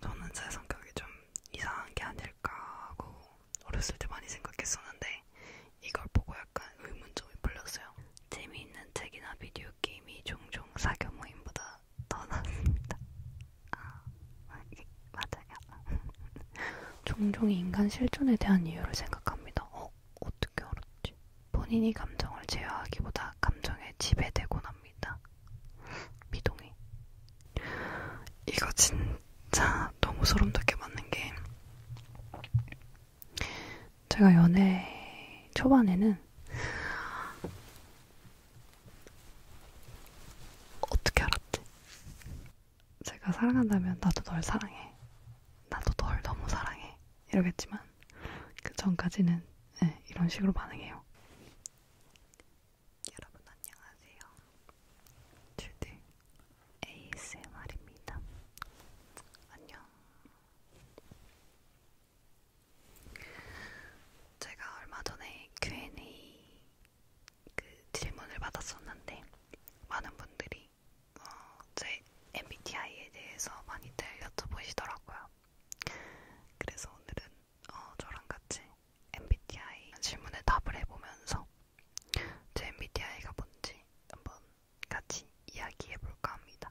저는 제 성격이 좀 이상한 게 아닐까 하고 어렸을 때 많이 생각했었는데 이걸 보고 약간 의문점이 풀렸어요. 재미있는 책이나 비디오 게임이 종종 사교 모임보다 더 낫습니다. 아, 맞아요. 종종 인간 실존에 대한 이유를 생각합니다. 어? 어떻게 알았지? 본인이 감정을 제어하기보다 감정에 지배되곤 합니다. 미동이. 이거 진짜 너무 소름 돋게 맞는 게 제가 연애 초반에는 어떻게 알았지? 제가 사랑한다면 나도 널 사랑해. 나도 널 너무 사랑해. 이러겠지만 그 전까지는 네, 이런 식으로 반응해요. 여러분 안녕하세요. 주들 ASMR입니다. 안녕. 제가 얼마 전에 Q&A 그 질문을 받았었는데 많은 분들이 어, 제 MBTI에 대해서 많이들 여쭤보시더라고요. 그래서 오늘은 어, 저랑 같이 MBTI 질문에 답을 해보면서 제 MBTI가 뭔지 한번 같이 이야기해볼까 합니다.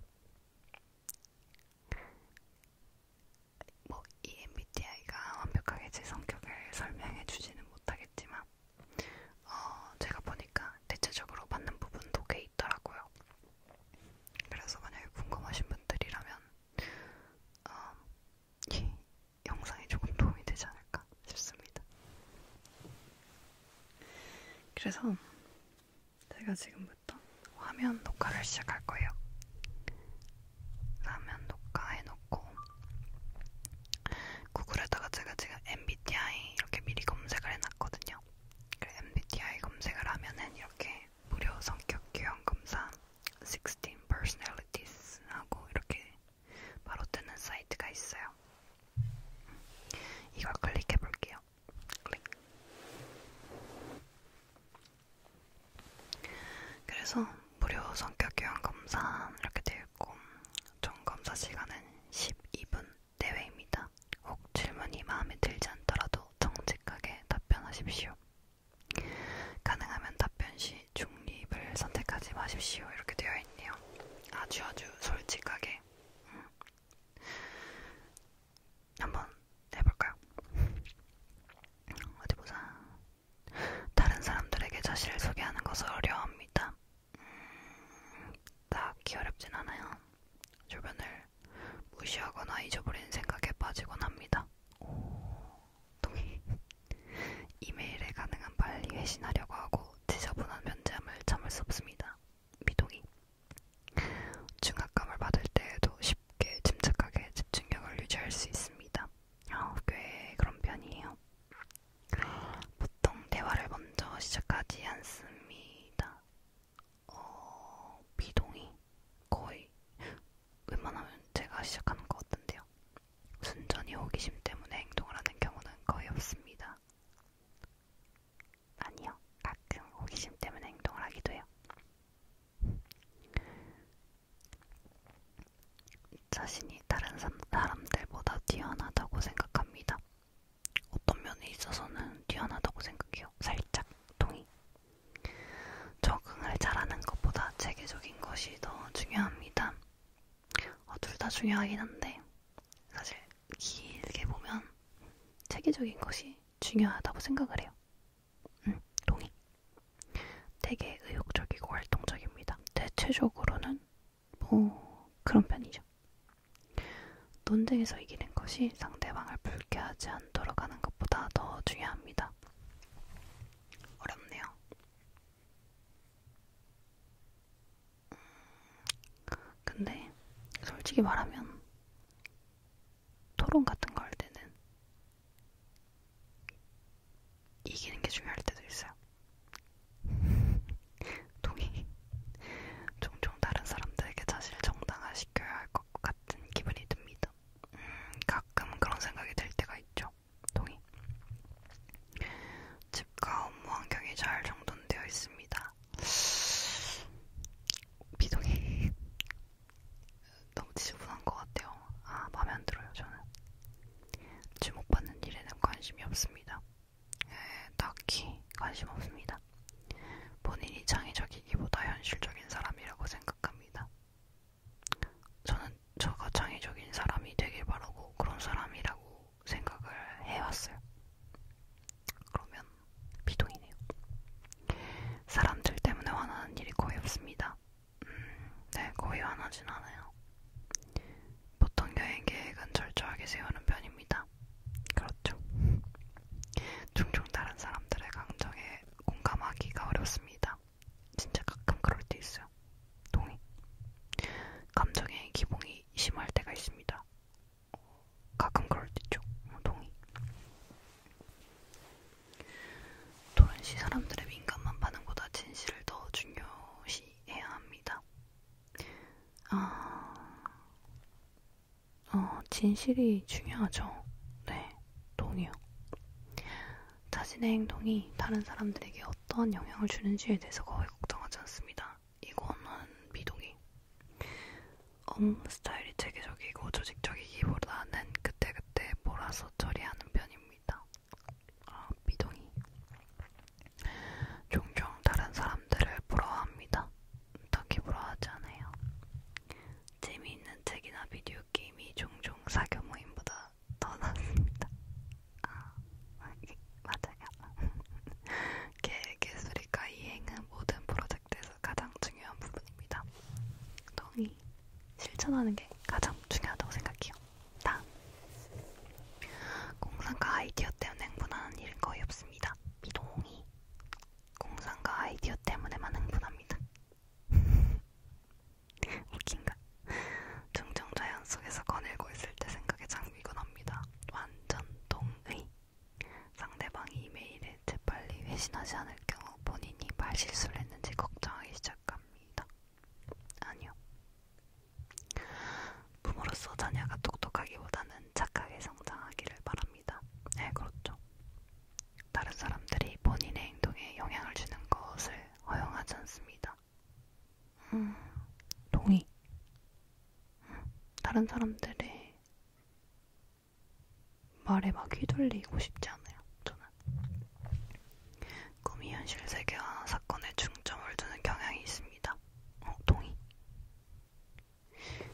뭐, 이 MBTI가 완벽하게 제 성격을 설명해주지는 못하겠지만, 어, 제가 보니까 대체적으로 맞는 부분도 꽤 있더라고요. 그래서 만약에 궁금하신 분들이라면, 어, 이 영상이 조금 도움이 되지 않을까 싶습니다. 그래서 제가 지금부터 화면 녹화를 시작할 거예요. 화면 녹화해놓고 구글에다가 제가 지금 MBTI 이렇게 미리 검색을 해놨거든요. 그래 MBTI 검색을 하면은 이렇게 무료 성격 유형 검사 16 personalities 하고 이렇게 바로 뜨는 사이트가 있어요. 이걸 클릭해 볼게요. 클릭. 그래서 무료 성격 교환 검사 이렇게 되어 있고 총 검사 시간은 12분 내외입니다. 혹 질문이 마음에 들지 않더라도 정직하게 답변하십시오. 가능하면 답변 시 중립을 선택하지 마십시오. 이렇게 되어 있네요. 아주 아주 솔직하게. 음. 한번 해볼까요? 어디 보자. 다른 사람들에게 자신을 소개하는 것을 어려워합니다. 음, 딱히 어렵진 않아요. 주변을 무시하거나 잊어버리는 생각에 빠지곤 합니다. 어, 동의. 이메일에 가능한 빨리 회신하려고 하고 지저분한 면제함을 참을 수 없습니다. 미동의. 중압감을 받을 때에도 쉽게 침착하게 집중력을 유지할 수 있습니다. 어, 꽤 그런 편이에요. 보통 대화를 먼저 시작하지 않습니다. 어, 미동의. 거의 웬만하면 제가 시작하는 것 같은데요. 순전히 호기심 때문에 행동을 하는 경우는 거의 없습니다. 아니요, 가끔 호기심 때문에 행동을 하기도 해요. 자신이 다른 사람들보다 뛰어나다고 생각합니다. 어떤 면에 있어서는 뛰어나다고 생각해요. 살짝 동의. 적응을 잘하는 것보다 체계적인 것이 더 중요합니다. 어, 둘 다 중요하긴 한데 사실 길게 보면 체계적인 것이 중요하다고 생각을 해요. 음, 동의. 되게 의욕적이고 활동적입니다. 대체적으로는 뭐 그런 편이죠. 논쟁에서 이기는 것이 상대방을 불쾌하지 않도록 하는 것보다 더 중요합니다. 어렵네요. 음, 근데 솔직히 말하면 토론 같은 거 할 때는 이기는 게 중요할 때도 있어요. 동의. 종종 다른 사람들에게 자신을 정당화시켜야 할 것 같은 기분이 듭니다. 음, 가끔 그런 생각이 들 때가 있죠. 동의. 집과 업무 환경이 잘 정돈되어 있습니다. 비동의. 너무 지저분한 것 같아요. 아, 마음에 안 들어요, 저는. 주목받는 일에는 관심이 없습니다. 에, 딱히 관심 없습니다. 본인이 창의적이기보다 현실적인 사람이라고 생각합니다. 저는 저가 창의적인 사람이 되길 바라고 그런 사람이라고 생각을 해왔어요. 그러면 비동이네요. 사람들 때문에 화나는 일이 거의 없습니다. 음, 네, 거의 화나진 않아요. 보통 여행 계획은 철저하게 세우는 편입니다. 그렇죠. 종종 다른 사람들의 감정에 공감하기가 어렵습니다. 진짜 가끔 그럴 때 있어요. 동의. 감정의 기봉이 심할 때가 있습니다. 가끔 그럴 때 있죠. 어, 동의. 토론시 사람들의 민감한 반응보다 진실을 더 중요시해야 합니다. 아, 어, 진실이 중요하죠. 네, 동의요. 자신의 행동이 다른 사람들에게 어떠한 영향을 주는지에 대해서 거의 걱정하지 않습니다. 이거는 미동이. 업무 스타일이 체계적이고 조직적이기보다는 그때그때 몰아서 처리하는 편입니다. 아, 미동이. 종종 다른 사람들을 부러워합니다. 음, 딱히 부러워하지 않아요. 재미있는 책이나 비디오 게임이 종종 사교 모임보다 더 낫습니다. 아, 맞아요. 계획예술이과 이행은 모든 프로젝트에서 가장 중요한 부분입니다. 동의. 실천하는 게 가장 중요하다고 생각해요. 다음. 공상과 아이디어 때문에 흥분하는 일은 거의 없습니다. 미동이. 공상과 아이디어 때문에만 흥분합니다. 웃긴가? 종종 자연 속에서 거닐고 있을 때 생각에 잠기곤 합니다. 완전 동의. 상대방이 이메일에 재빨리 회신하지 않을 경우 본인이 말실수를 했는지 걱정하기 시작합니다. 아니요. 부모로서 자녀가 똑똑하기보다는 착하게 성장하기를 바랍니다. 네, 그렇죠. 다른 사람들이 본인의 행동에 영향을 주는 것을 허용하지 않습니다. 음, 동의. 음, 다른 사람들의 말에 막 휘둘리고 싶지 않아요, 저는. 꿈이 현실 세계와 사건에 중점을 두는 경향이 있습니다. 어, 동의.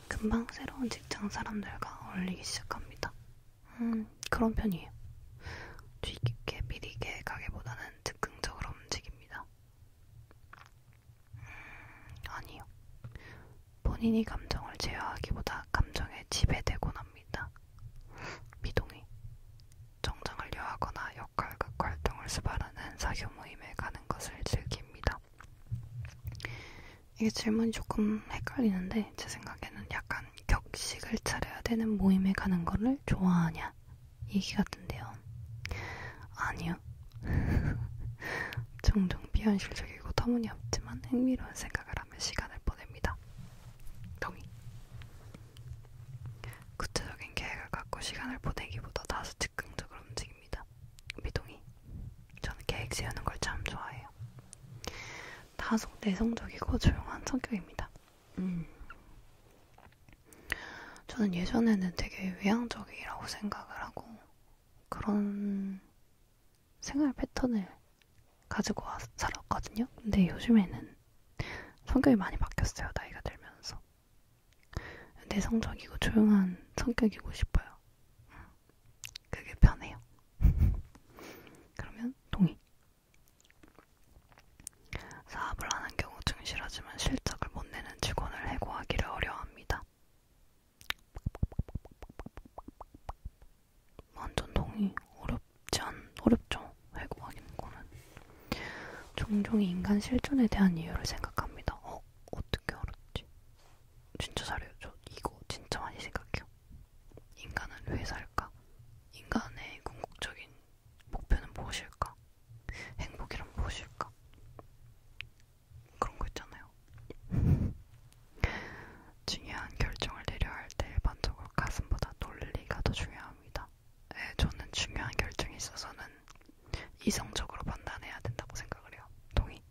금방 새로운 직장 사람들과 어울리기 시작합니다. 음, 그런 편이에요. 주의 깊게 비리게 가기보다는 즉흥적으로 움직입니다. 음, 아니요. 본인이 감정을 제어하기보다 감정에 지배되곤 합니다. 미동이. 정장을 요하거나 역할극 활동을 수발하는 사교 모임에 가는 것을 즐깁니다. 이게 질문이 조금 헷갈리는데 제 생각에는 약간 격식을 차려야 되는 모임에 가는 거를 좋아하냐? 얘기 같은데요. 아니요. 종종 비현실적이고 터무니없지만 흥미로운 생각을 하며 시간을 보냅니다. 동의. 구체적인 계획을 갖고 시간을 보내기보다 다소 즉흥적으로 움직입니다. 미동의. 저는 계획 세우는 걸 참 좋아해요. 다소 내성적이고 조용한 성격입니다. 음. 저는 예전에는 되게 외향적이라고 생각을 하고 그런 생활 패턴을 가지고 와서 살았거든요. 근데 요즘에는 성격이 많이 바뀌었어요. 나이가 들면서. 내성적이고 조용한 성격이고 싶어요. 음. 그게 편해요. 그러면 동의. 사업을 하는 경우 증실하지만 실적을 못 내는 직원을 해고하기를 어려워합니다. 완전 동의 어렵지 않, 어렵죠. 해고하기는 거는. 종종 인간 실존에 대한 이유를 생각합니다. 어? 어떻게 알았지? 진짜 잘해요. 저 이거 진짜 많이 생각해요. 인간은 왜 살까? 인간의 궁극적인 목표는 무엇일까? 행복이란 무엇일까? 그런 거 있잖아요. 중요한 결정을 내려야 할때 일반적으로 가슴보다 논리가 더 중요합니다. 네, 저는 중요한 결정에 있어서는 이성적으로 판단해야 된다고 생각을 해요. 동의.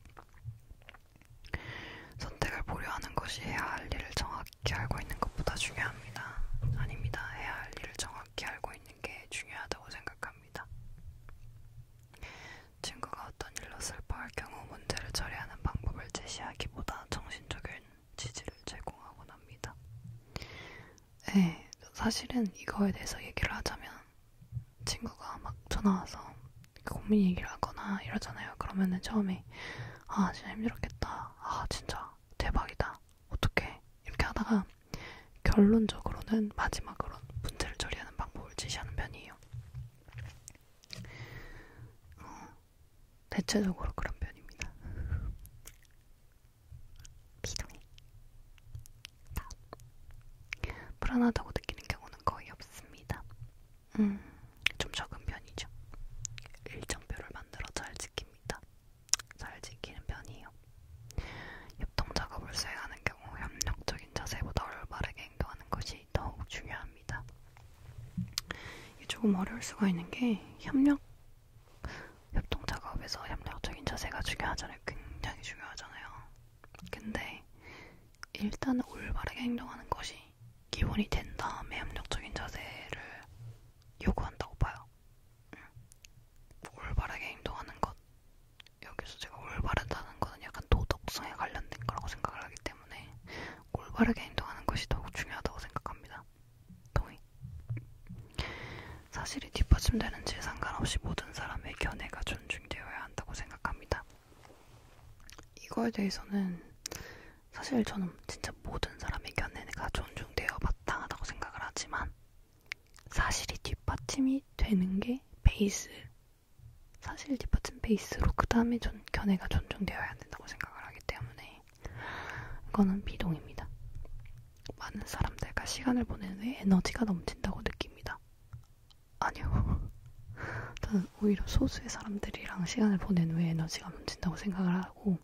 선택을 보류하는 것이 해야 할 일을 정확히 알고 있는 것보다 중요합니다. 아닙니다. 해야 할 일을 정확히 알고 있는 게 중요하다고 생각합니다. 친구가 어떤 일로 슬퍼할 경우 문제를 처리하는 방법을 제시하기보다 정신적인 지지를 제공하곤 합니다. 네, 사실은 이거에 대해서 얘기를 하자면 친구가 막 전화와서 고민 얘기를 하거나 이러잖아요. 그러면은 처음에 아 진짜 힘들었겠다. 아 진짜 대박이다 어떻게 이렇게 하다가 결론적으로는 마지막으로 문제를 처리하는 방법을 제시하는 편이에요. 어, 대체적으로 그런 편입니다. 비동해. 불안하다고 느끼는 경우는 거의 없습니다. 음, 좀 적은 편이죠. 일정표를 만들어 잘 지킵니다. 잘 지키는 편이에요. 협동 작업을 수행하는 경우 협력적인 자세보다 올바르게 행동하는 것이 더욱 중요합니다. 이게 조금 어려울 수가 있는 게 협력, 협동 작업에서 협력적인 자세가 중요하잖아요. 굉장히 중요하잖아요. 근데 일단은 올바르게 행동하는 것이 기본이 된 다음에 협력적인 자세를 요구한다고 봐요. 응. 올바르게 행동하는 것. 여기서 제가 올바르다는 것은 약간 도덕성에 관련된 거라고 생각을 하기 때문에 올바르게 행동하는 것이 더욱 중요하다고 생각합니다. 동의. 사실이 뒷받침되는지 상관없이 모든 사람의 견해가 존중되어야 한다고 생각합니다. 이거에 대해서는 사실 저는 진짜 모든 사람의 견해가 존중되어 마땅하다고 생각을 하지만 사실이 뒷받침이 되는 게 베이스. 사실 뒷받침 베이스로 그 다음에 견해가 존중되어야 된다고 생각을 하기 때문에 이거는 비동입니다. 많은 사람들과 시간을 보내는 후에 에너지가 넘친다고 느낍니다. 아니요. 저는 저는 오히려 소수의 사람들이랑 시간을 보낸 후에 에너지가 넘친다고 생각을 하고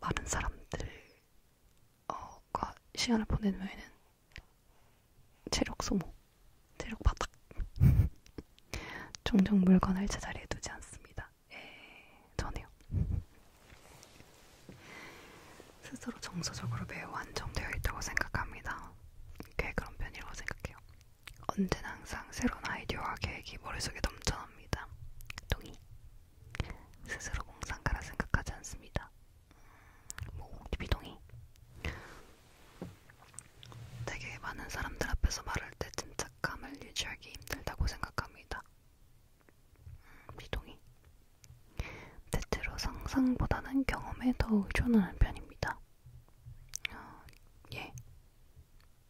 많은 사람들과 시간을 보낸 후에는 체력 소모, 체력 바닥 종종 물건을 제자리에 두지 않습니다. 예, 전해요. 스스로 정서적으로 매우 안정되어 있다고 생각합니다. 꽤 그런 편이라고 생각해요. 언제나 항상 새로운 아이디어와 계획이 머릿속에 넘쳐납니다. 동의. 스스로 공상가라 생각하지 않습니다. 모공티 음, 뭐, 비동의. 되게 많은 사람들 앞에서 말할 때 진착감을 유지하기 힘들다고 생각합니다. 음, 비동의. 대체로 상상보다는 경험에 더 의존하는 편입니다. 어, 예.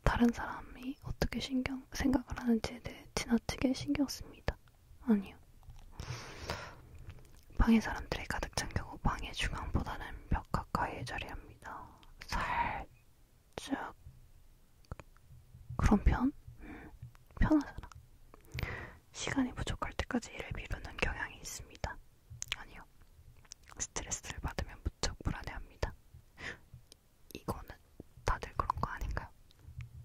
다른 사람이 어떻게 신경 생각을 하는지에 대해 지나치게 신경 씁니다. 아니요. 방에 사람들이 가득 잠기고 방의 중앙보다는 벽 가까이에 자리합니다. 살짝 그런 편? 음, 편하잖아. 시간이 부족할 때까지 일을 미루는 경향이 있습니다. 아니요. 스트레스를 받으면 무척 불안해합니다. 이거는 다들 그런 거 아닌가요?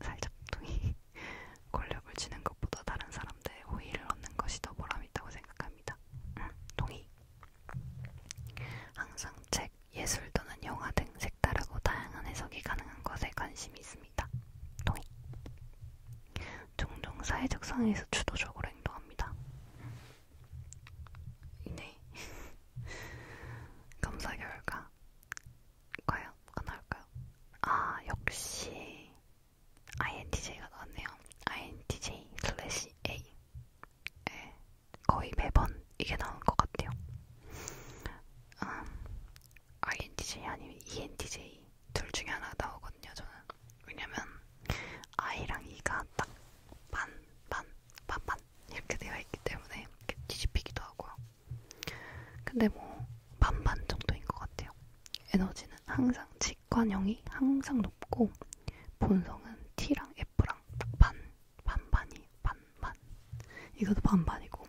살짝 동이 권력을 쥐는 것보다 다른 사람들의 호의를 얻는 것이 더 보람있다고 생각합니다. 응, 동의. 항상 책, 예술 또는 영화 등 색다르고 다양한 해석이 가능한 것에 관심이 있습니다. 동의. 종종 사회적 상황에서 주도적으로 행동합니다. 네. 검사 결과. 과연 뭐가 나올까요? 아, 역시 INTJ가 나왔네요. INTJ 슬래시 A. 네, 거의 매번 이게 나온 것 같아요. 음, INTJ 아니면 ENTJ 둘 중에 하나 나오거든요, 저는. 왜냐면 I랑 E가 딱 반, 반, 반반 이렇게 되어 있기 때문에 이렇게 뒤집히기도 하고요. 근데 뭐 반반 정도인 것 같아요. 에너지는 항상 직관형이 항상 높고 본성은 T랑 F랑 반 반반이 반반 이것도 반반이고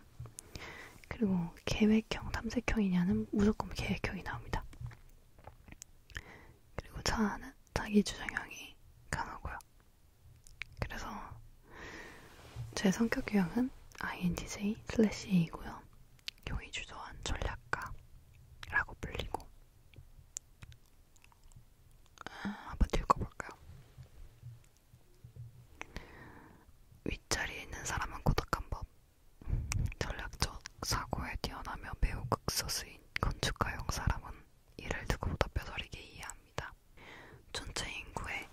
그리고 계획형 탐색형이냐는 무조건 계획형이 나옵니다. 그리고 자아는 자기 주장형이 강하고요. 그래서 제 성격 유형은 INTJ 슬래시 A이고요. 용의주도한 전략가라고 불리고 아, 한번 읽어볼까요? 윗자리에 있는 사람은 고독한 법 전략적 사고에 뛰어나며 매우 극소수인 건축가용 사람은 이를 누구보다 뼈저리게 이해합니다. 전체 인구의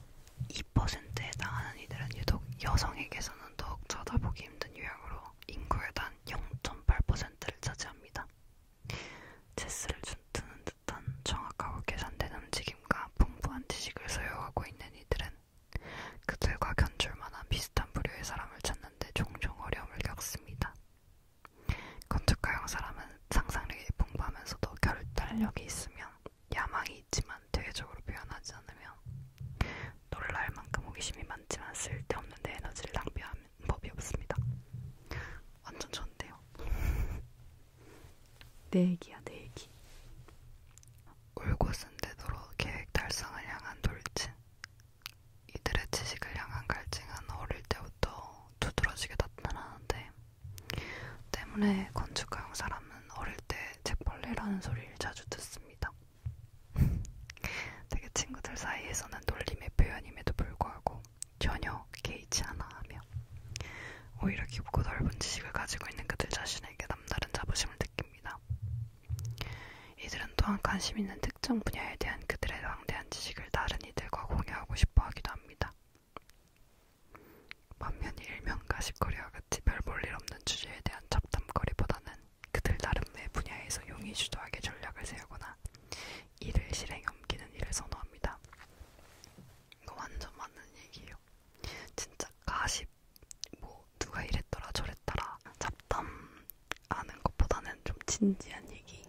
2%에 해당하는 이들은 유독 여성에게서는 더욱 쳐다보기 힘든 유형으로 인구의 단 0.8%를 차지합니다. 체스를 준트는 듯한 정확하고 계산된 움직임과 풍부한 지식을 소유하고 있는 이들은 그들과 견줄 만한 비슷한 부류의 사람을 찾는데 종종 어려움을 겪습니다. 건축가형 사람은 상상력이 풍부하면서도 결단력이 있으면 야망이 있지만 대외적으로 표현하지 않으면 놀랄 만큼 호기심이 많지만 쓸데없는 내 에너지를 낭비하는 법이 없습니다. 완전 좋은데요. 내 얘기야 내 얘기. 울고 쓴 데도록 계획 달성을 향한 돌진. 이들의 지식을 향한 갈증은 어릴 때부터 두드러지게 나타나는데 때문에 건축가용 사람은 어릴 때 책벌레라는 소리를 자주 듣습니다. 되게 친구들 사이에서는 놀림의 표현임에도 불구하고 전혀 개의치 않아 하며 오히려 깊고 넓은 지식을 가지고 있는 그들 자신에게 남다른 자부심을 느낍니다. 이들은 또한 관심 있는 특정 분야에 대한 그들의 방대한 지식을 다른 많이들과 공유하고 싶어 하기도 합니다. 반면에 일면과 식거리와 같이 별 볼일 없는 주제에 대한 잡담거리보다는 그들 나름의 분야에서 용이 주도하게 전략을 세우거나 이를 실행에 옮기는 일을 선호합니다. 이거 완전 맞는 얘기예요. 진짜 가십, 뭐 누가 이랬더라 저랬더라 잡담 아는 것보다는 좀 진지한 얘기,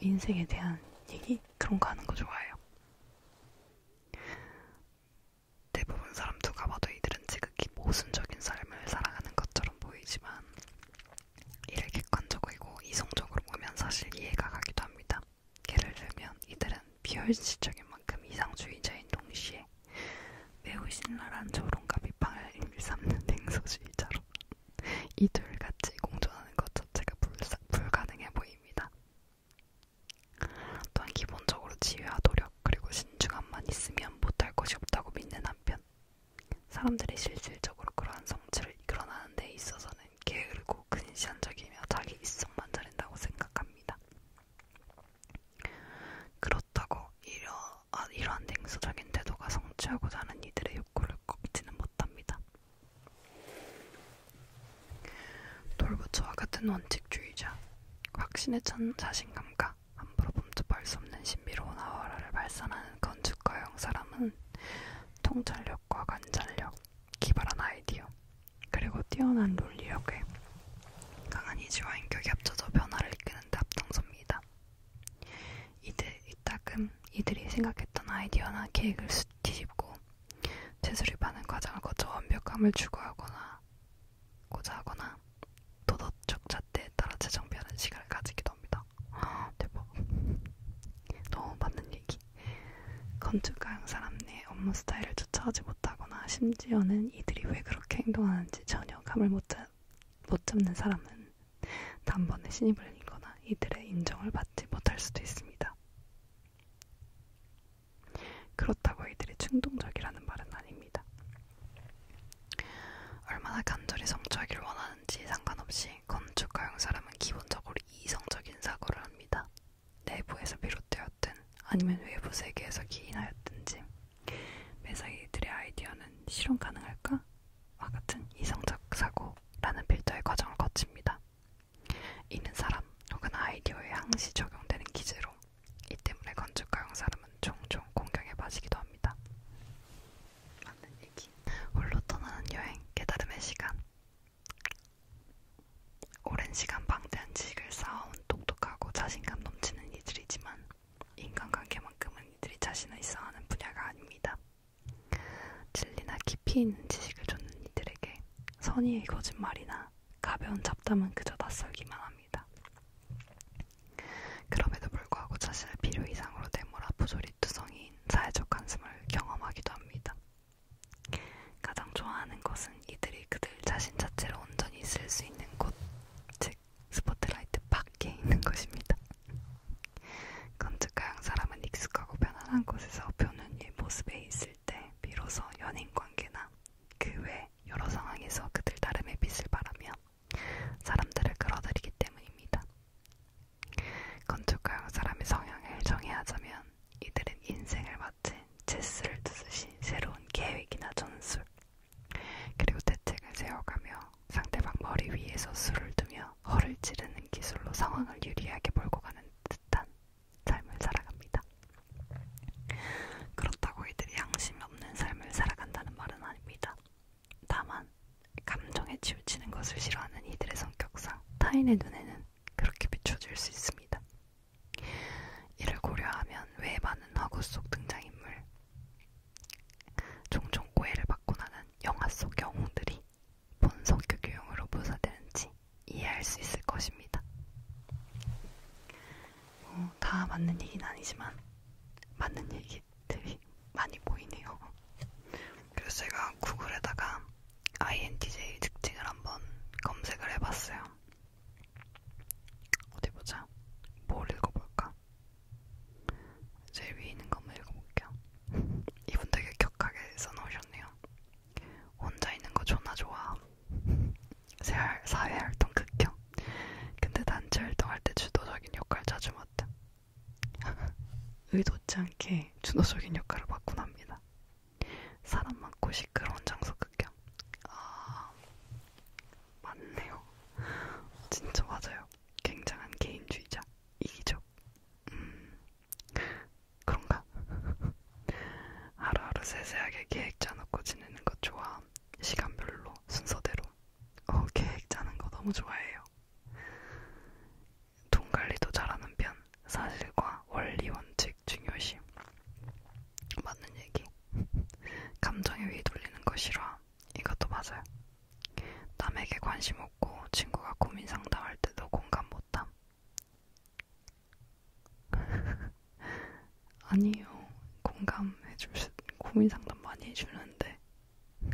인생에 대한 얘기 그런 거 하는 거 좋아해요. 대부분 사람 누가 봐도 이들은 지극히 모순적인 삶을 살아가는 것처럼 보이지만 이를 객관적이고 이성적으로 보면 사실 이해가 가기도 합니다. 예를 들면 이들은 비현실적인 만큼 이상주의자인 동시에 매우 신랄한 조롱과 비판을 일삼는 냉소주의자로 이둘 같이 공존하는 것 자체가 불사, 불가능해 보입니다. 또한 기본적으로 지혜와 노력 그리고 신중함만 있으면 못할 것이 없다고 믿는 한편 사람들이 실질적으로 그러한 성취를 이끌어나는 데 있어서는 게으르고 근시안적이며 자기 이성만 자린다고 생각합니다. 그렇다고 이러, 아, 이러한 냉소적인 태도가 성취하고자 하는 이들의 욕구를 잘 꺾지는 못합니다. 돌부처와 같은 원칙주의자, 확신에 찬 자신감과 함부로 범접할 수 없는 신비로운 아우라를 발산하는 건축가형 사람은 통찰력과 관찰력, 기발한 아이디어, 그리고 뛰어난 논리력에 강한 이지와 인격이 합쳐져 변화를 이끄는 데 앞장섭니다. 이들, 이따금 이들이 생각했던 아이디어나 계획을 뒤집고 재수립하는 과정을 거쳐 완벽함을 추구하거나 고자 하거나 도덕적 잣대에 따라 재정비하는 시간을 가지기도 합니다. 아, 대박. 너무 맞는 얘기. 건축가형 사람의 업무 스타일을 쫓아오지 못하거나 심지어는 이들이 왜 그렇게 행동하는지 전혀 감을 못, 잡, 못 잡는 사람은 단번에 신입을 이거나 이들의 인정을 받지 못할 수도 있습니다. 그렇다고 이들이 충동적이라는 말은 아닙니다. 얼마나 간절히 성취하기를 원하는지 상관없이 건축가용 사람은 기본적으로 이성적인 사고를 합니다. 내부에서 비롯되었든 아니면 외부 세계에서 기인하였든지 매사 이들의 아이디어는 실현 가능할까? 와 같은 이성적 사고라는 필터의 과정을 거칩니다. 이는 사람 혹은 아이디어에 항시 적용되는 기제로 이 때문에 건축가용 사람은 종종 공경에 빠지기도 합니다. 맞는 얘기. 홀로 떠나는 여행, 깨달음의 시간. 오랜 시간 방대한 지식을 쌓아온 똑똑하고 자신감 넘치는 이들이지만 인간관계만큼은 이들이 자신을 있어하는 분야가 아닙니다. 진리나 깊이 있는 지식을 줬는 이들에게 선의의 거짓말이나 가벼운 잡담은 그저 낯설기만 합니다. 그럼에도 불구하고 자신을 필요 이상으로 내몰아 부조리투성이인 사회적 관심을 경험하기도 합니다. 가장 좋아하는 것은 이들이 그들 자신 자체로 온전히 있을 수 있는 곳, 즉 스포트라이트 밖에 있는 것입니다. 건축가형 사람은 익숙하고 편안한 곳에서 표현이 모습에 있을 때 비로소 연인관계나 그 외 여러 상황에서 그들 다름의 빛을 바라며 사람들을 끌어들이기 때문입니다. 건축가형 사람의 성향을 정의하자면 이들은 인생을 마치 체스를 두듯이 새로운 계획이나 전술 그리고 대책을 세워가며 상대방 머리 위에서 술을 두며 허를 찌르는 기술로 상황을 유리하게 몰고 가는 듯한 삶을 살아갑니다. 그렇다고 이들이 양심이 없는 삶을 살아간다는 말은 아닙니다. 다만 감정에 치우치는 것을 싫어하는 이들의 성격상 타인의 눈에는 그렇게 비춰질 수 있습니다. 이를 고려하면 왜 많은 허구 속 등장인물, 종종 오해를 받고 나는 영화 속 영웅들이 본성격 유형으로 묘사되는지 이해할 수 있을 것입니다. 어, 다 맞는 얘기는 아니지만 맞는 얘기들이 많이 보이네요. 그래서 제가 구글에다가 INTJ 특징을 한번 검색을 해봤어요. 어디 보자. 뭘 읽어볼까? 제일 위에 있는 거 한번 읽어볼게요. 이분 되게 격하게 써놓으셨네요. 혼자 있는 거 존나 좋아. 사회활동 극혐. 근데 단체 활동할 때 주도적인 역할 자주 맡다. 의도치 않게 주도적인 역할을 맡곤 합니다. 사람 많고 시끄러운 장소 극혐. 아, 맞네요. 진짜 맞아요. 굉장한 개인주의자. 이기적 음, 그런가? 하루하루 세세하게 계획 짜놓고 지내는 거 좋아. 시간별로 순서대로. 어, 계획 짜는 거 너무 좋아해요. 돈 관리도 잘하는 편. 사실과 원리 원칙 중요시. 맞는 얘기. 감정에 휘둘리는 거 싫어. 이것도 맞아요. 남에게 관심 없고 친구가 고민 상담할 때도 공감 못함. 아니요, 공감해줄 고민 상담 많이 해주는데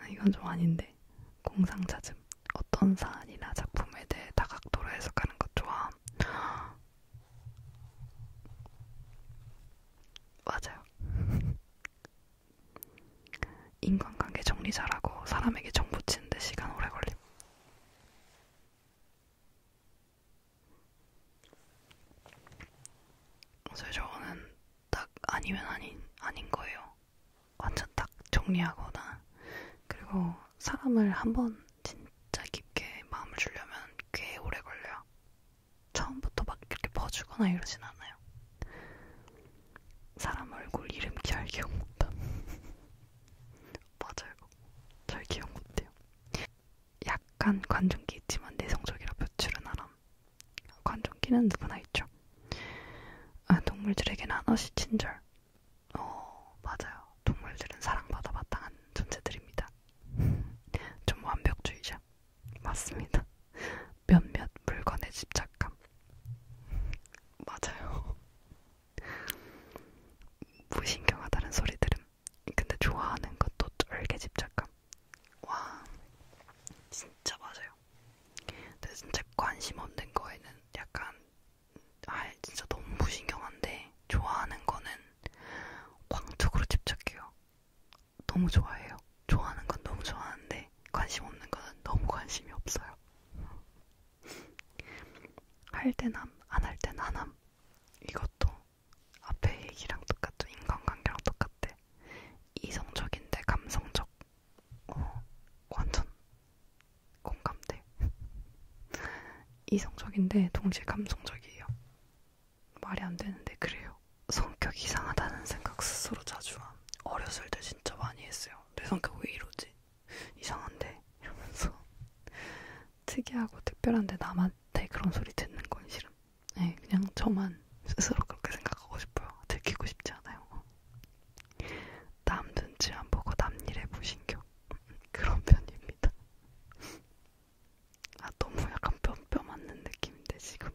아, 이건 좀 아닌데 공상 찾음 어떤 사안이나 작품에 대해 다각도로 해석하는 것 좋아. 맞아요. 인간관계 정리 잘하고 사람에게 정 붙이는데 시간 오래 걸림. 그래서 저는 딱 아니면 아닌 아닌 거예요. 완전 딱 정리하거나 그리고 사람을 한번 진짜 깊게 마음을 주려면 꽤 오래 걸려요. 처음부터 막 이렇게 퍼주거나 이러진 않아요. 사람 얼굴 이름 잘 기억 못함. 맞아요. 잘 기억 못해요. 약간 관종기 있지만 내성적이라 표출은 안함. 관종기는 누구나 있죠. 아, 동물들에게는 한없이 친절. 어, 맞아요. 동물들은 사랑받아 마땅한 존재들입니다. 좀 완벽주의자. 맞습니다. 몇몇 물건의 집착감. 맞아요. 무신경하다는 소리 들음. 근데 좋아하는 것도 쫄게 집착감. 와, 진짜 맞아요. 근데 진짜 관심 없는 거에는 약간, 아, 진짜 너무 무신경한데 좋아하는 거는 광적으로 집착해요. 너무 좋아해요. 좋아하는 건 너무 좋아하는데 관심 없는 건 너무 관심이 없어요. 할 때남, 안 할 때나남 이것도 앞에 얘기랑 똑같죠. 인간관계랑 똑같대. 이성적인데 감성적. 어, 완전 공감대. 이성적인데 동시에 감성적이에요. 말이 안 되는데 그래요. 성격이 이상하다는 생각 스스로 자주 함. 어렸을 때 진짜 많이 했어요. 내 성격 왜 이러지? 이상한데? 이러면서 특이하고 특별한데 남한테 그런 소리 듣는 건 싫음. 네, 그냥 저만 스스로 그렇게 생각하고 싶어요. 들키고 싶지 않아요. 남 눈치 안 보고 남 일에 무신경. 그런 편입니다. 아, 너무 약간 뼈 뼈 맞는 느낌인데, 지금.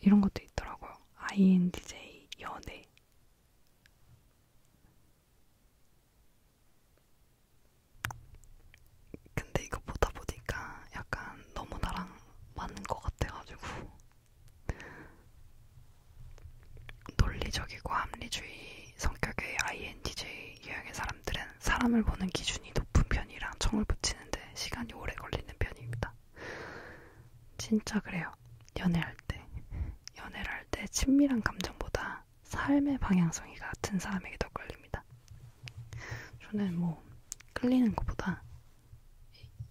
이런 것도 있더라고요. INTJ 연애. 근데 이거 보다 보니까 약간 너무 나랑 맞는 것 같아가지고 논리적이고 합리주의 성격의 INTJ 유형의 사람들은 사람을 보는 기준이 높은 편이랑 청을 붙이는데 시간이 오래 걸리는 편입니다. 진짜 그래요. 연애할 때. 연애를 할 때 친밀한 감정보다 삶의 방향성이 같은 사람에게 더 끌립니다. 저는 뭐 끌리는 것보다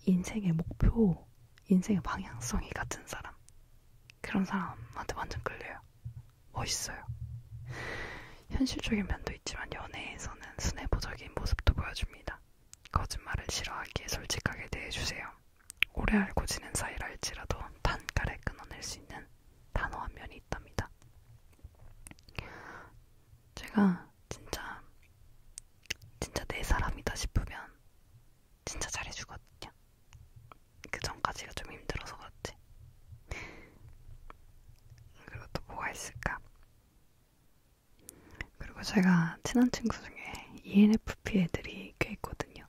인생의 목표, 인생의 방향성이 같은 사람. 그런 사람한테 완전 끌려요. 멋있어요. 현실적인 면도 있지만 연애에서는 순애보적인 모습도 보여줍니다. 거짓말을 싫어하기에 솔직하게 대해주세요. 오래 알고 지낸 사이랄지라도 단칼에 끊어낼 수 있는 단호한 면이 있답니다. 제가 진짜 진짜 내 사람이다 싶으면 진짜 잘해주거든요. 그 전까지가 좀 힘들어서 그렇지. 그리고 또 뭐가 있을까? 그리고 제가 친한 친구 중에 ENFP 애들이 꽤 있거든요.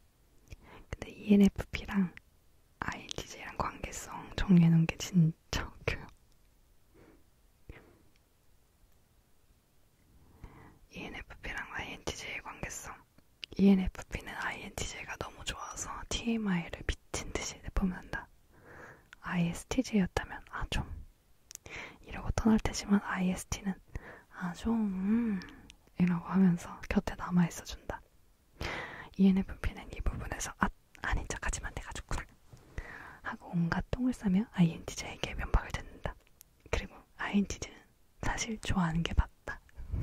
근데 ENFP랑 INTJ랑 관계성 정리해놓은 게 진짜 웃겨요. ENFP랑 INTJ의 관계성. ENFP는 INTJ가 너무 좋아서 TMI를 미친 듯이 내뿜는다. ISTJ였다면 아 좀 이러고 떠날 테지만 IST는 아좀 음, 이라고 하면서 곁에 남아 있어준다. ENFP는 이 부분에서 아 아닌 척하지만 내가 좋구나 하고 온갖 똥을 싸며 INTJ에게 면박을 듣는다. 그리고 INTJ는 사실 좋아하는 게 맞다.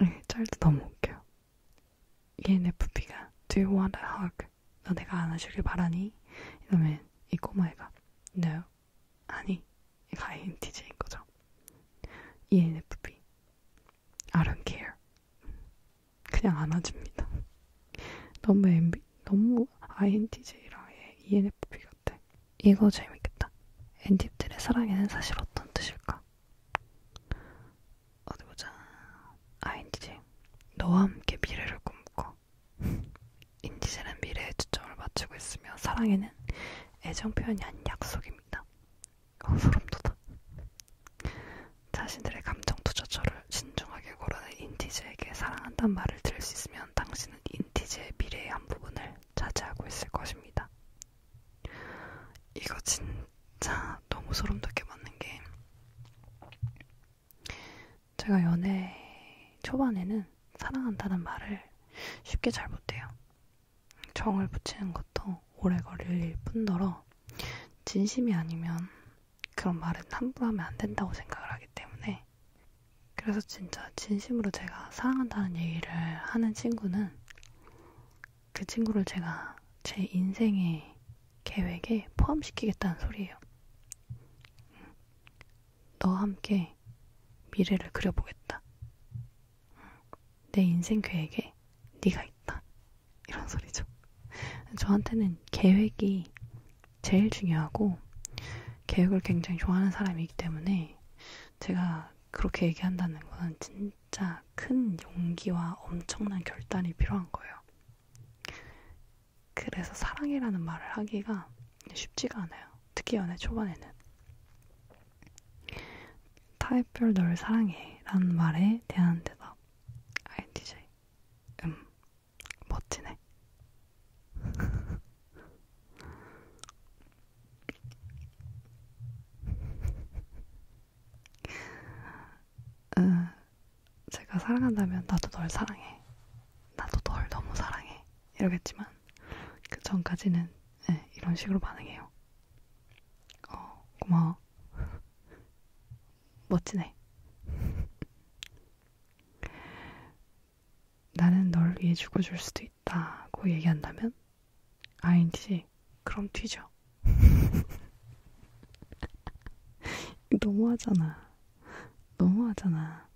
네, 짤도 너무 웃겨요. ENFP가 Do you want a hug? 너 내가 안아주길 바라니? 이러면 이 꼬마애가 No 아니 이거 INTJ인 거죠 ENFP I don't care 그냥 안아줍니다 너무 MB, 너무 INTJ랑 ENFP 같아 이거 재밌겠다 엔디들의 사랑에는 사실 어떤 뜻일까? 어디 보자. 아, 인디지. 너와 함께 미래를 꿈꿔. 인디지는 미래에 초점을 맞추고 있으며 사랑에는 애정 표현이 아닌 약속입니다. 어, 소름 돋아. 자신들의 감정 투자처를 신중하게 고르는 인티즈에게 사랑한다는 말을 들을 수 있으면 당신은 인티즈의 미래의 한 부분을 차지하고 있을 것입니다. 이거 진짜 너무 소름 돋게 맞는 게 제가 연애 초반에는 사랑한다는 말을 쉽게 잘 못해요. 정을 붙이는 것도 오래 걸릴 뿐더러 진심이 아니면 그런 말은 함부로 하면 안 된다고 생각을 하기 때문에 그래서 진짜 진심으로 제가 사랑한다는 얘기를 하는 친구는 그 친구를 제가 제 인생의 계획에 포함시키겠다는 소리예요. 음. 너와 함께 미래를 그려보겠다. 음. 내 인생 계획에 네가 있다. 이런 소리죠. 저한테는 계획이 제일 중요하고 계획을 굉장히 좋아하는 사람이기 때문에 제가 그렇게 얘기한다는 건 진짜 큰 용기와 엄청난 결단이 필요한 거예요. 그래서 사랑이라는 말을 하기가 쉽지가 않아요. 특히 연애 초반에는. 타입별 널 사랑해 라는 말에 대한 대답. INTJ. 음, 멋지네. 음, 제가 사랑한다면 나도 널 사랑해. 나도 널 너무 사랑해. 이러겠지만 그 전까지는 네, 이런 식으로 반응해요. 어, 고마워. 멋지네. 나는 널 위해 죽어줄 수도 있다고 얘기한다면 아인지 그럼 튀죠. 너무하잖아. 너무하잖아.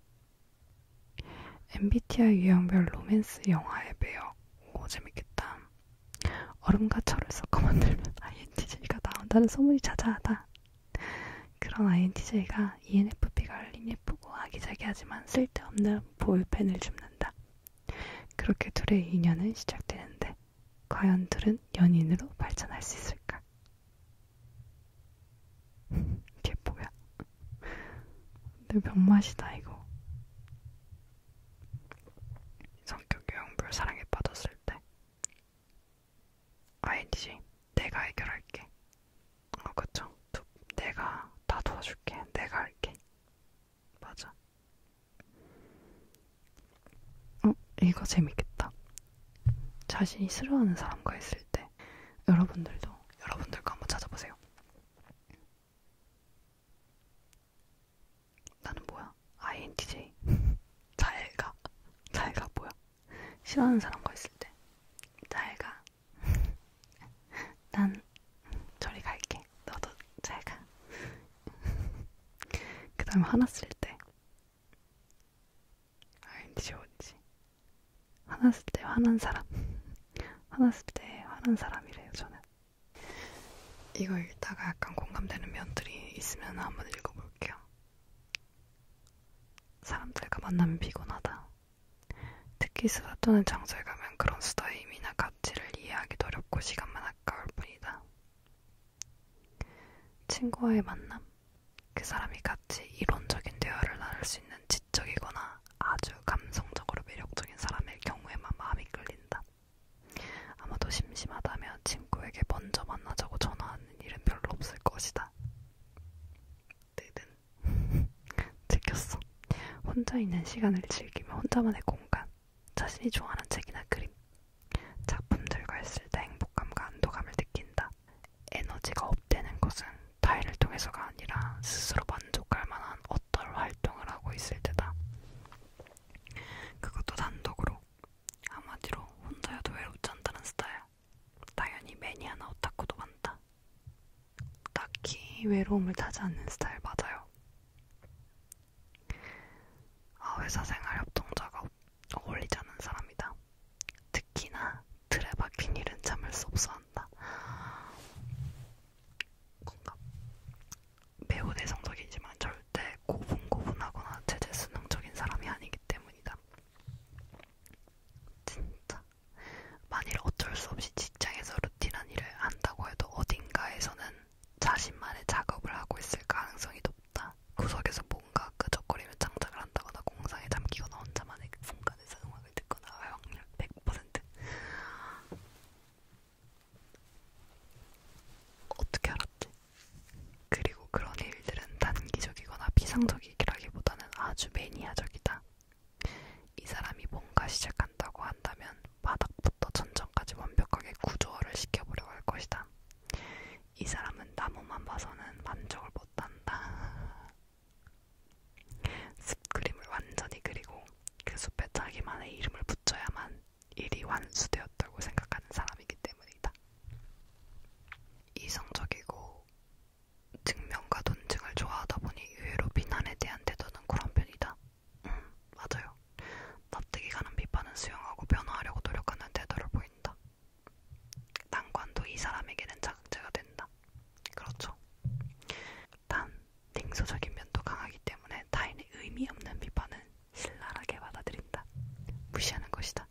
MBTI 유형별 로맨스 영화의 매력. 오 재밌겠다. 얼음과 철을 섞어 만들면 INTJ가 나온다는 소문이 자자하다. 그런 INTJ가 ENFP가 알린 예쁘고 아기자기하지만 쓸데없는 볼펜을 줍는다. 그렇게 둘의 인연은 시작되는데 과연 들은 연인으로 발전할 수 있을까? 이게 뭐야? 내 병맛이다 이거. 성격 유형별 사랑에 빠졌을 때 아니지 내가 해결할게. 어 그쵸? 내가 다 도와줄게. 내가 할게. 맞아. 어, 이거 재밌겠다. 자신이 싫어하는 사람과 있을 때 여러분들도 여러분들과 한번 찾아보세요. 나는 뭐야? INTJ. 잘가. 잘가 뭐야? 싫어하는 사람과 있을 때. 잘가. 난 저리 갈게. 너도 잘가. 그 다음 화났을 때. 알지 좋은지. 화났을 때 화난 사람. 화났을 때 화난 사람이래요, 저는. 이거 읽다가 약간 공감되는 면들이 있으면 한번 읽어볼게요. 사람들과 만나면 피곤하다. 특히 수다 또는 장소에 가면 그런 수다의 의미나 가치를 이해하기도 어렵고 시간만 아까울 뿐이다. 친구와의 만남, 그 사람이 같이 이론적인 대화를 나눌 수 있는 지적이거나 아주 감성적으로 매력적인 사람일 경우에만 마음이 끌린다. 아마도 심심하다면 친구에게 먼저 만나자고 전화하는 일은 별로 없을 것이다. 뜨든. 즐겼어. 혼자 있는 시간을 즐기며 혼자만의 공간, 자신이 좋아하는 책이나 그림, 작품들과 있을 때 행복감과 안도감을 느낀다. 에너지가 업되는 것은 타인을 통해서가 아니라 스스로 만족할 만한 어떤 활동을 하고 있을 때다. 그것도 단독으로. 한마디로 혼자여도 외롭지 않다는 스타일. 당연히 매니아나 오타쿠도 많다. 딱히 외로움을 타지 않는 스타일 맞아요. 아, 회사 생활 협동자가 어울리지 않은 사람이다. 특히나 틀에 박힌 일은 참을 수 없어 한다. 공감. 매우 내성적이지만 절대 고분고분하거나 제재수능적인 사람이 아니기 때문이다. 진짜. 만일 어쩔 수 없이 직장에서 루틴한 일을 한다고 해도 어딘가에서는 자신만의 작업을 하고 있을 가능성이 높다. 구석에서 뭔가 끄적거리며 창작을 한다거나 공상에 잠기거나 혼자만의 순간에서 음악을 듣거나 할 확률 100%. 어떻게 알았지? 그리고 그런 일들은 단기적이거나 피상적이라기보다는 아주 매니아적이다. 이 사람이 뭔가 시작한다고 한다면 바닥부터 천장까지 완벽하게 구조화를 시켜보려고 할 것이다. 이 사람은 나무만 봐서는 만족을 못한다. 숲 그림을 완전히 그리고 그 숲에 자기만의 이름을 붙여야만 일이 완수되었다고 생각하는 사람이기 때문이다. 이성적이고 증명과 논증을 좋아하다 보니 의외로 비난에 대한 태도는 그런 편이다. 음, 맞아요. 납득이 가는 비판은 수용하고 변화하려고 노력하는 태도를 보인다. 난관도 이 사람에게는 자극제가 된다. 그렇죠. 단, 냉소적인 면도 강하기 때문에 타인의 의미 없는 비판은 신랄하게 받아들인다. 무시하는 것이다.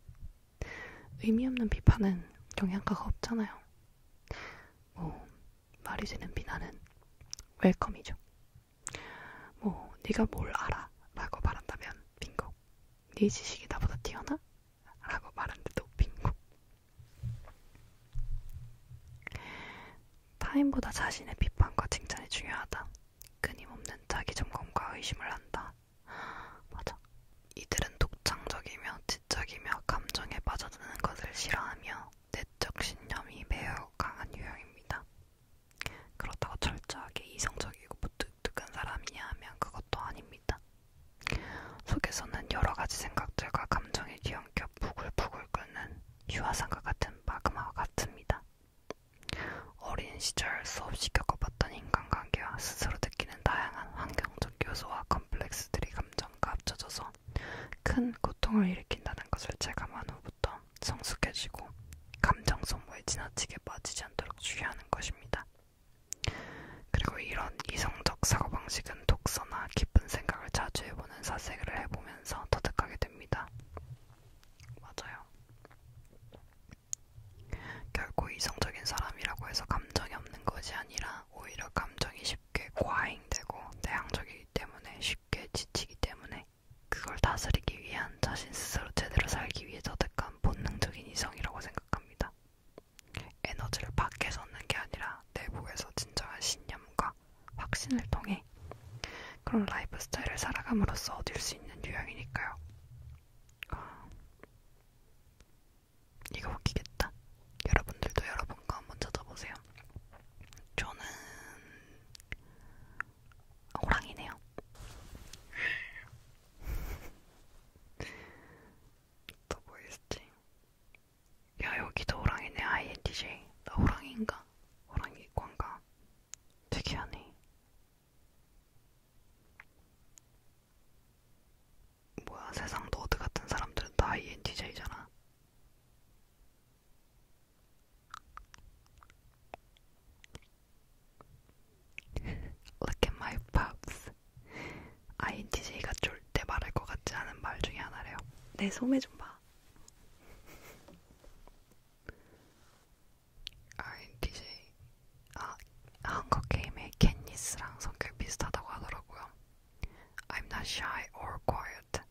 의미 없는 비판은 영향가가 없잖아요. 뭐, 말이 되는 비난은 웰컴이죠. 뭐 네가 뭘 알아? 라고 말한다면 빙고 네 지식이 나보다 뛰어나? 라고 말한데도 빙고 타인보다 자신의 비판과 칭찬이 중요하다 끊임없는 자기 점검과 의심을 한다 맞아 이들은 독창적이며 지적이며 감정에 빠져드는 것을 싫어하며 내적 신념이 매우 강한 유형입니다 그렇다고 철저하게 이성적이고 무뚝뚝한 사람이냐 하면 그것도 아닙니다. 속에서는 여러 가지 생각들과 감정이 뒤엉켜 부글부글 끓는 유화상과 같은 마그마와 같습니다. 어린 시절 수없이 겪어봤던 인간관계와 스스로 느끼는 다양한 환경적 요소와 컴플렉스들이 감정과 합쳐져서 큰 고통을 일으킨다는 것을 체감한 후부터 성숙해지고 감정 소모에 지나치게 빠지지 않도록 주의하는 것입니다. 그리고 이런 이성적 사고방식은 독서나 깊은 생각을 자주 해보는 사색을 해보면서 터득하게 됩니다. 맞아요. 결코 이성적인 사람이라고 해서 감정이 없는 것이 아니라 오히려 감정이 쉽게 과잉되고 대항적이기 때문에 쉽게 지치기 때문에 그걸 다스리기 위한 자신 스스로 제대로 살기 위해 저득한 본능적인 이성이라고 생각합니다. 에너지를 밖에서 얻는 게 아니라 내부에서 진정한 신념과 확신을 통해 그런 라이프 스타일을 살아감으로써 얻을 수 있는 유형이니까요. 이거 웃기겠다. 여러분들도 여러분과 한번 찾아보세요. 저는 호랑이네요. 또뭐 있지? 야 여기도 호랑이네 INTJ. 나 호랑이인가? 호랑이 관가 특이하네. 뭐야 세상 너드 같은 사람들은 다 INTJ잖아. Look at my pups. INTJ가 절대 말할 것 같지 않은 말 중에 하나래요. 내 소매 좀 봐. INTJ. 아, 한국 게임의 캣니스랑 성격 비슷하다고 하더라고요. I'm not shy or quiet.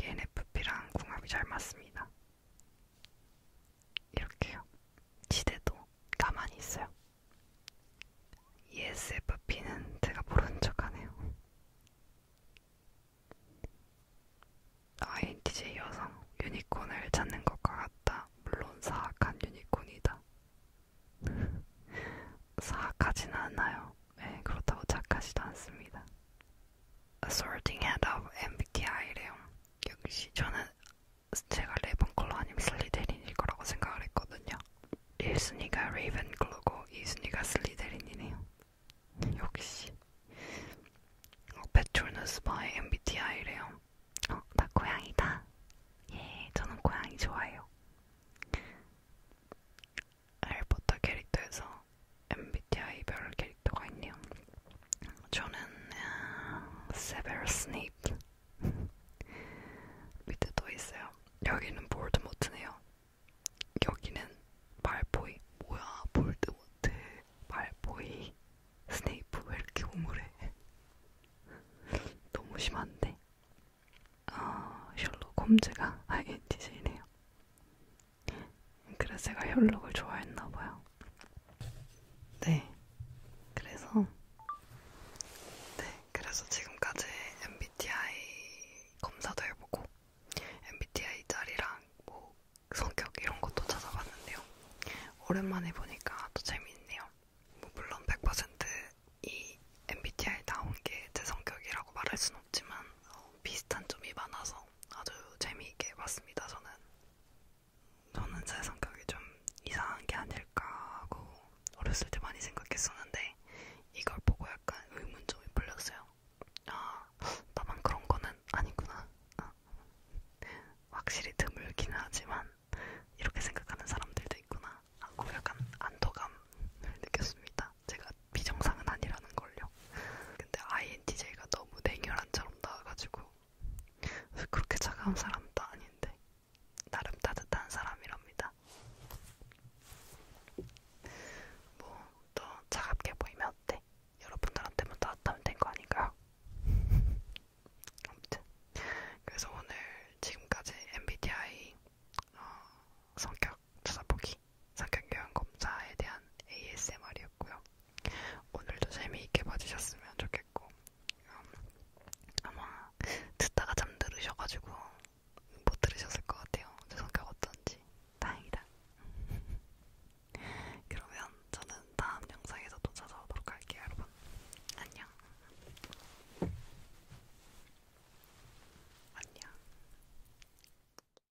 ENFP랑 궁합이 잘 맞습니다. 이렇게요. 지대도 가만히 있어요. ESFP는 제가 모르는 척하네요. INTJ 여성 유니콘을 찾는 것과 같다. 물론 사악한 유니콘이다. 사악하진 않아요. 네, 그렇다고 착하지도 않습니다. Sorting Head of MBTI래요. 역시 저는 제가 레븐클로 아니면 슬리데린일 거라고 생각을 했거든요. 1순위가 레이븐클로고 2순위가 슬리데린이네요. 역시. 어, 베툴누스바의 MBTI래요. 어, 나 고양이다. 예, 저는 고양이 좋아해요. 해리포터 캐릭터에서 MBTI별 캐릭터가 있네요. 저는 세베러스 스네이프 밑에 또 있어요. 여기는 볼드모트네요. 여기는 말보이 뭐야 볼드모트 말보이 스네이프 왜 이렇게 우물해? 너무 심한데. 아 어, 셜록 홈즈가 INTJ네요. 그래서 제가 혈록을 좋아했나봐요. 네. 그래서 네, 그래서 지금까지 MBTI 검사도 해보고 MBTI 자리랑 뭐 성격 이런 것도 찾아봤는데요. 오랜만에 보니까 또 재미있네요. 뭐 물론 100%이 MBTI 나온 게 제 성격이라고 말할 수는 없지만 어, 비슷한 점이 많아서 아주 재미있게 봤습니다. 저는 저는 제 성격이 좀 이상한 게 아닐까 하고 어렸을 때 많이 생각했었는데 이걸 보고 약간 의문점이 풀렸어요. 아 나만 그런 거는 아니구나. 아, 확실히 드물긴 하지만 이렇게 생각하는 사람들도 있구나 하고 아, 약간 안도감을 느꼈습니다. 제가 비정상은 아니라는 걸요. 근데 INTJ가 너무 냉혈한처럼 나와가지고 그렇게 차가운 사람도 아닌데 나름 따뜻한 사람이랍니다. 뭐또 차갑게 보이면 어때? 여러분들한테만 따뜻하면 된 거 아닌가요? 아무튼 그래서 오늘 지금까지 MBTI 어, 성격 찾아보기 이야기 성격교환 검사에 대한 ASMR이었고요. 오늘도 재미있게 봐주셨으면 좋겠고 음, 아마 듣다가 잠들으셔가지고 못 들으셨을 것 같아요. 제 성격 어떤지 다행이다. 그러면 저는 다음 영상에서 또 찾아오도록 할게요, 여러분. 안녕. 안녕.